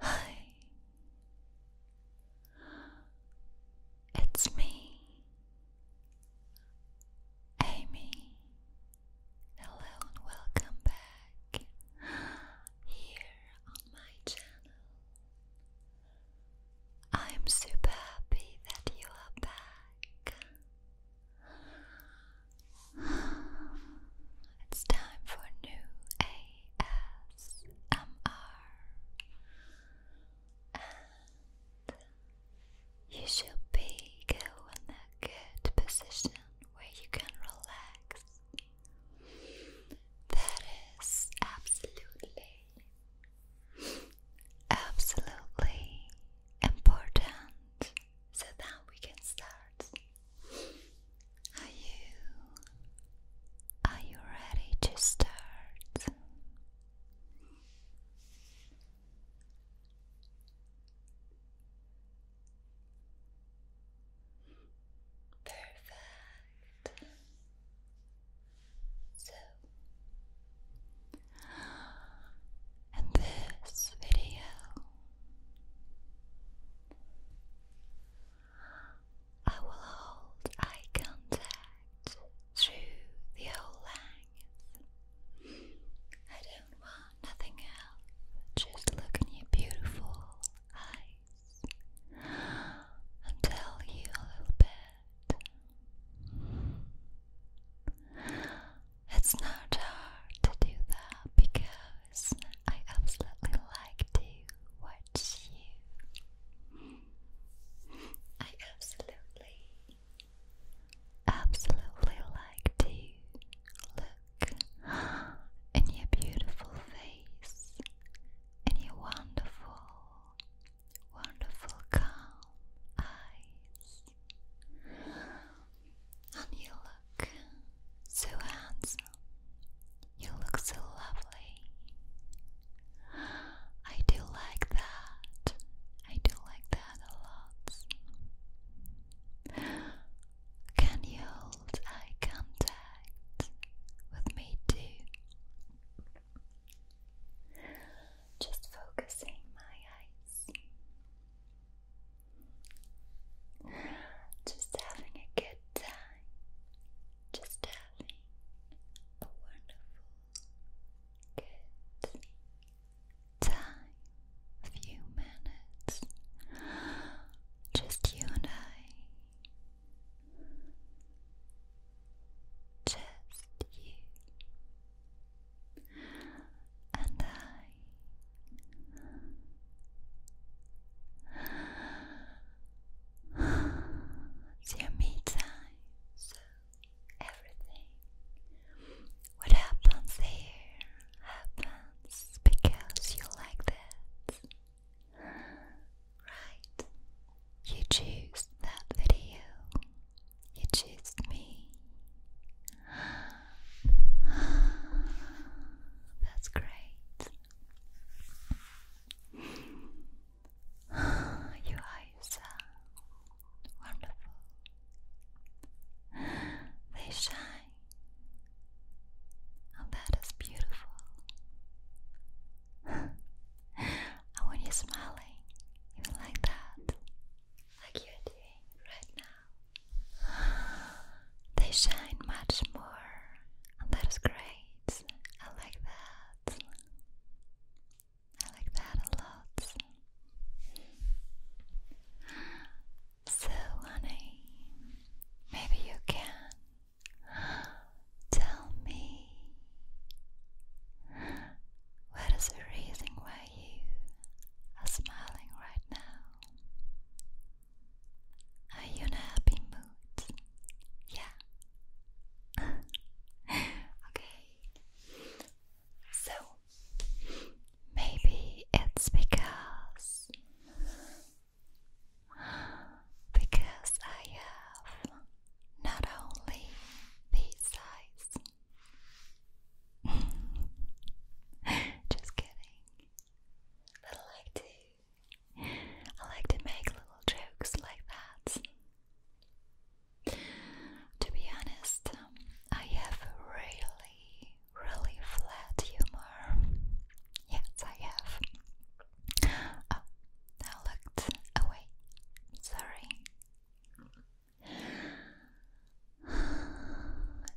Hi, it's me, Amy. Hello and welcome back here on my channel. I'm super happy that you are back. It's time for new ASMR, and you should be in a good position where you can relax. That is absolutely, absolutely important, so that we can start. Are you are you ready to start? Perfect. So in this video I will hold eye contact through the whole length. I don't want nothing else, just look your beautiful eyes and tell you a little bit. It's not hard to do that because I absolutely like to watch you. I absolutely, absolutely like to look in your beautiful face, in your wonderful, wonderful calm eyes. And you look so handsome. You look so lovely. I do like that. I do like that a lot. Can you hold eye contact with me too? Just focusing my eyes. Just having a good time just having a wonderful, good time, a few minutes, just you and I, just you and I. It's your me time, so everything. What happens here happens because you like that. Right? You choose that video. You choose me. That's great. Your eyes are wonderful. They shine. And oh, that is beautiful. and when you smiling, even like that, like you're doing right now, they shine much more that is great. I like that. I like that a lot. So, honey, maybe you can tell me what is the reason why you are smiling right now? Are you in a happy mood? Yeah. okay. So, maybe it's because because I have not only these eyes. Just kidding. But I like I like to make little jokes like that. To be honest, um, I have a really, really flat humor. Yes, I have. I oh, looked away. Sorry.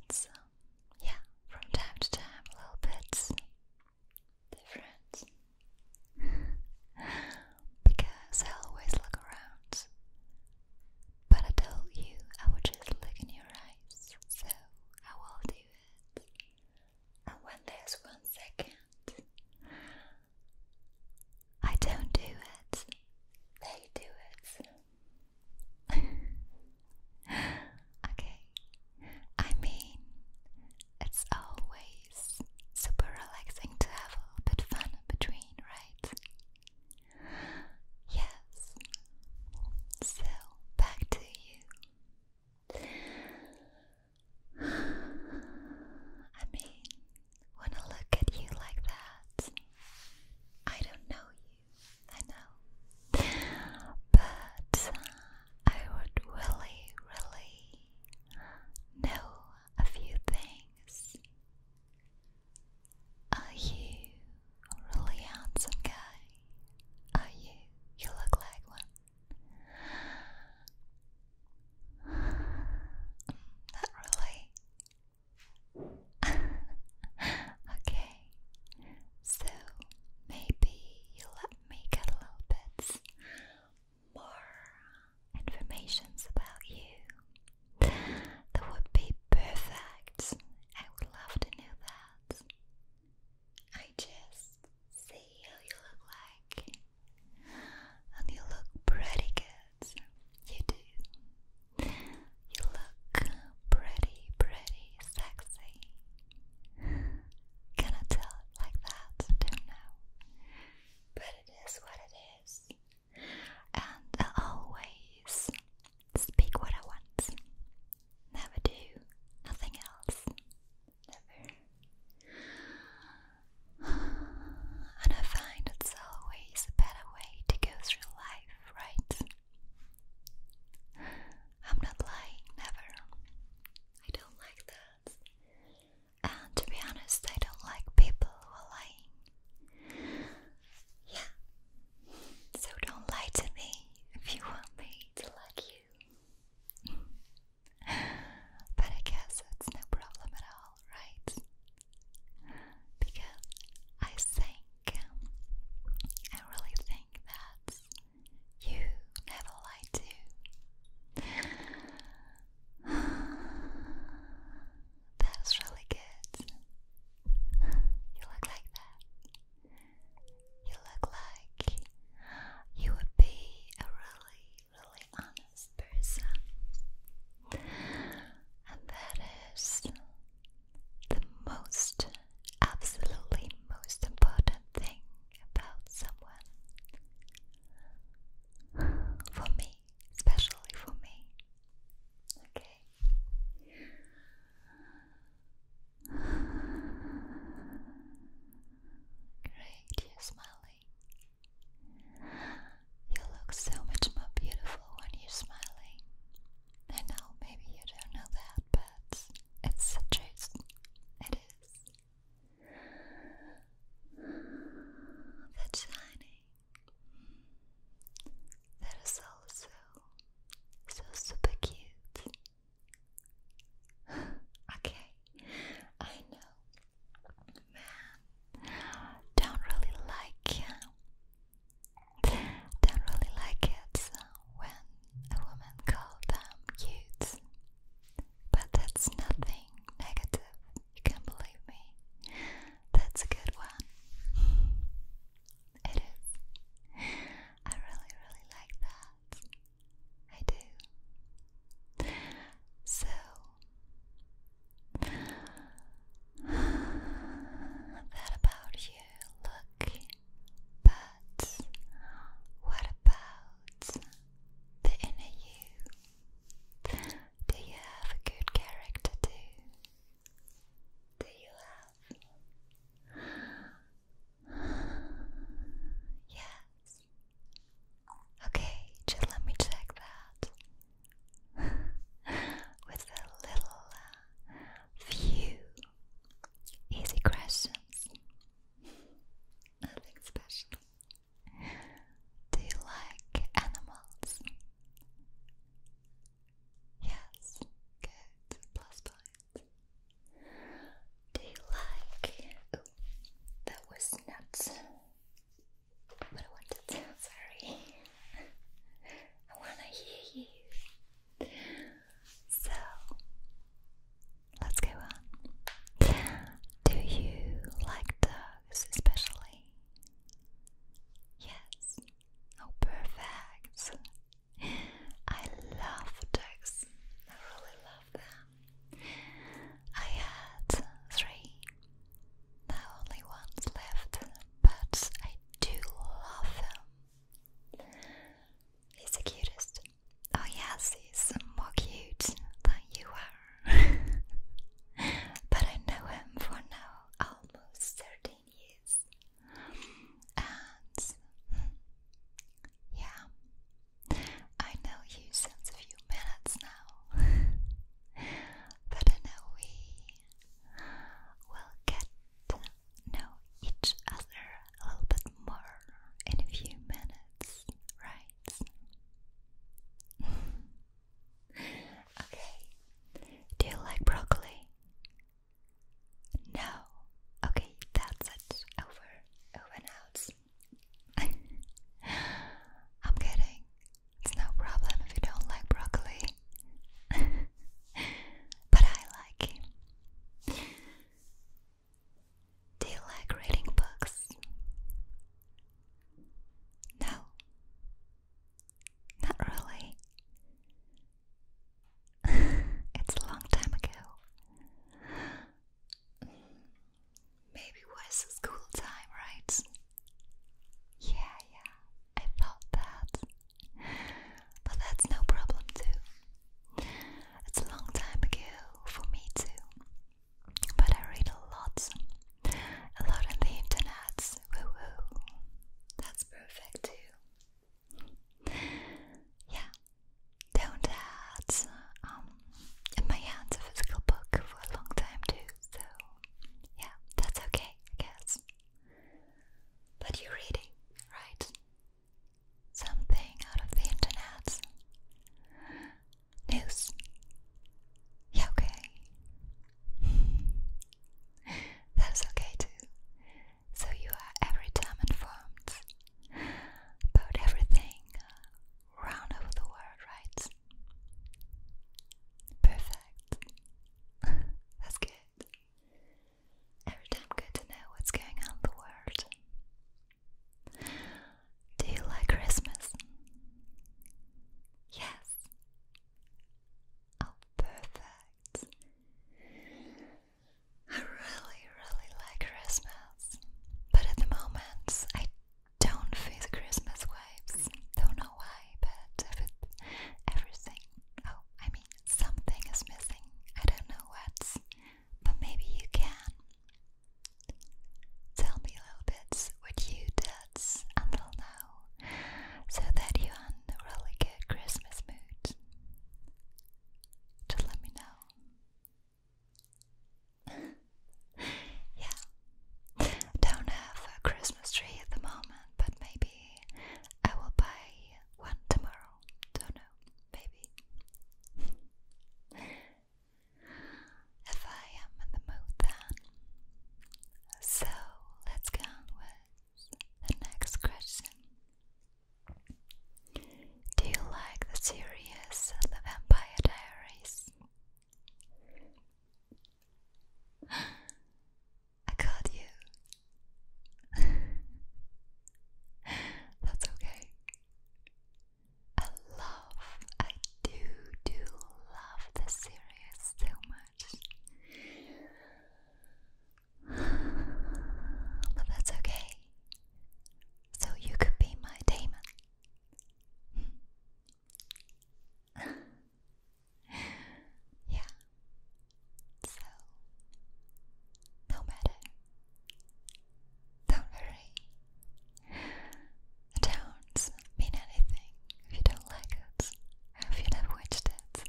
It's, um, yeah, from time to time little bit difference because I always look around, but I told you I would just look in your eyes, so I will do it. And when there's one second, I don't do it, they do it. okay. I mean, it's always super relaxing to have a little bit fun in between, right? Yes. So, back to you. I mean, when I look at you like that, I don't know I know. But I would really, really know a few things. Are you a really handsome guy? Are you? You look like one. Not really. okay. So maybe you make a little bit more informations about you. That would be perfect. I would love to know that. I just see how you look like. And you look pretty good. You do. You look pretty, pretty sexy. Can I tell like that? Don't know. But it is what it is. And I always speak what I want. Never do nothing else. Never. And I find it's always a better way to go through life, right? I'm not lying, never. I don't like that. And to be honest, I don't like people who are lying. Yeah. So don't lie to me if you want me to like you. but I guess it's no problem at all, right? Because I think, I really think that you never lie to. That's really good. You look like that. You look like you would be a really, really honest person. And that is the most, absolutely most important thing about someone. For me, especially for me. Okay. Great, you're smiling. You look so much more beautiful when you're smiling. I know maybe you don't know that, but it's a It is. That shining that is also so super cute. okay, I know, man, don't really like don't really like it when a woman calls them cute. But that's nothing negative, you can believe me. That's a good one. It is. I really, really like that. I do. So, that about you, look. But what about towards the inner you? Do you have a good character too? Do you have? Yes. Okay, just let me check that with a little uh, few easy questions. Nothing special. Do you like animals? Yes, good. Plus Do you like. that was not what I wanted to. Sorry. I wanna hear you. So, let's go on. Do you like dogs especially? Yes. Oh, perfect. I love dogs. I really love them. I had three. Now only one's left, but I do love them. He's the cutest Oh yes, he's more cute than you are. but I know him for now almost 13 years. And yeah, I know you since a few minutes now. but I know we will get to know each other a little bit more in a few minutes, right? okay. Do you like broccoli? No. Okay, that's it. Over, over out. I'm kidding. It's no problem if you don't like broccoli. but I like it. Do you like reading books? No, not really. it's a long time ago. Maybe was school time, right? Yeah, yeah, I thought that. But that's no problem, too. It's a long time ago for me too, but I read a lot, a lot on the internet. Woo that's perfect too. Yeah, don't add um in my hands a physical book for a long time too. So yeah, that's okay, I But you're reading, right? Something out of the internet. News. Yeah, okay. That's okay too. So you are every time informed about everything round over the world, right? Perfect. That's good. Every time good to know what's going on the world. Do you like Christmas? Yes. Oh, perfect. I really, really like Christmas, but at the moment I don't feel Christmas vibes. Don't know why, but every, everything. Oh, I mean, something is missing. I don't know what, but maybe you can. Tell me little bits what you did until now, so that you're in a really good Christmas mood. Just let me know. yeah, don't have a Christmas tree at the moment, but maybe I will buy one tomorrow. Don't know, maybe if I am in the mood then. So let's go with the next question. Do you like the series The Vampire Diaries? I got you. That's okay. I love, I do, do love the series so much. But that's okay. So you could be my Damon. yeah. So, no matter. Don't worry. Don't mean anything if you don't like it or if you never watched it.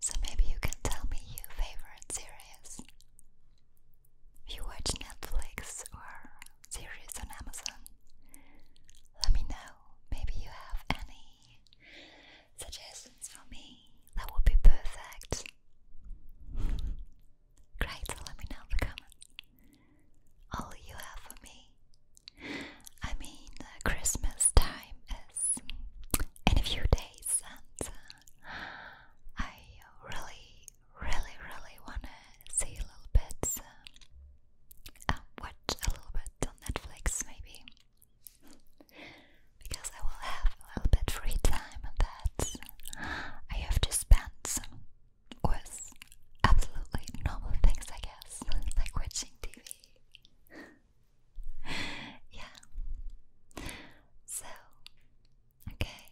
So maybe you can tell me your favorite series. If you watch Netflix or series on Amazon, let me know. Maybe you have any suggestions for me that would be perfect. Great, let me know the comments. All you have for me. I mean, Christmas time is in a few days, and uh, I really, really, really wanna see a little bit, uh, uh, watch a little bit on Netflix, maybe. Because I will have a little bit free time that I have to spend with absolutely normal things, I guess, like watching TV. yeah. So, okay.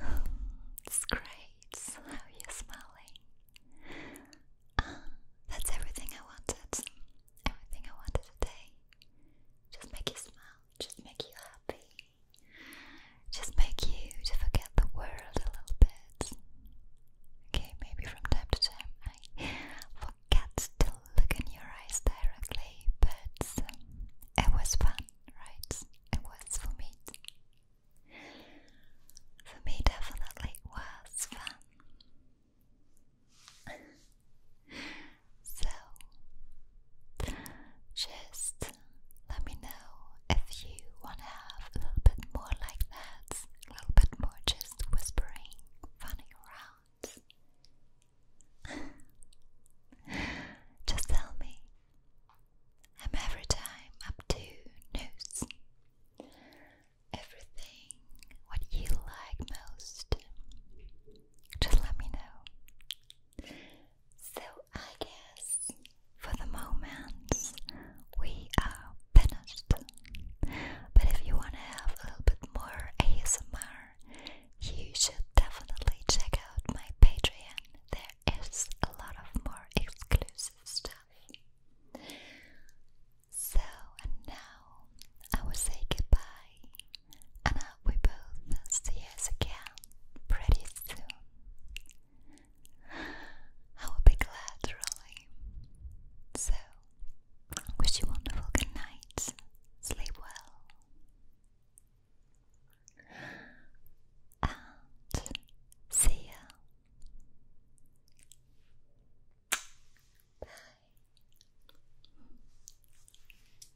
It's great. How are smiling? Ah, that's everything I wanted. Everything I wanted today. Just make you smile just make you happy, just make you to forget the world a little bit. Okay, maybe from time to time I forget to look in your eyes directly, but um, it was fun, right? It was for me. For me, definitely was fun. So, just let me know if you want to have a little bit more like that, a little bit more just whispering, funning around. just tell me. am every time up to news. Everything what you like most. Just let me know. So I guess for the moment we are finished. But if you want to have a little bit more ASMR, you should definitely check out my Patreon. There is a lot of more exclusive stuff. So, now I will say goodbye and we both see us again pretty soon. I will be glad, really. So, wish you wonderful good night. Sleep well. see ya.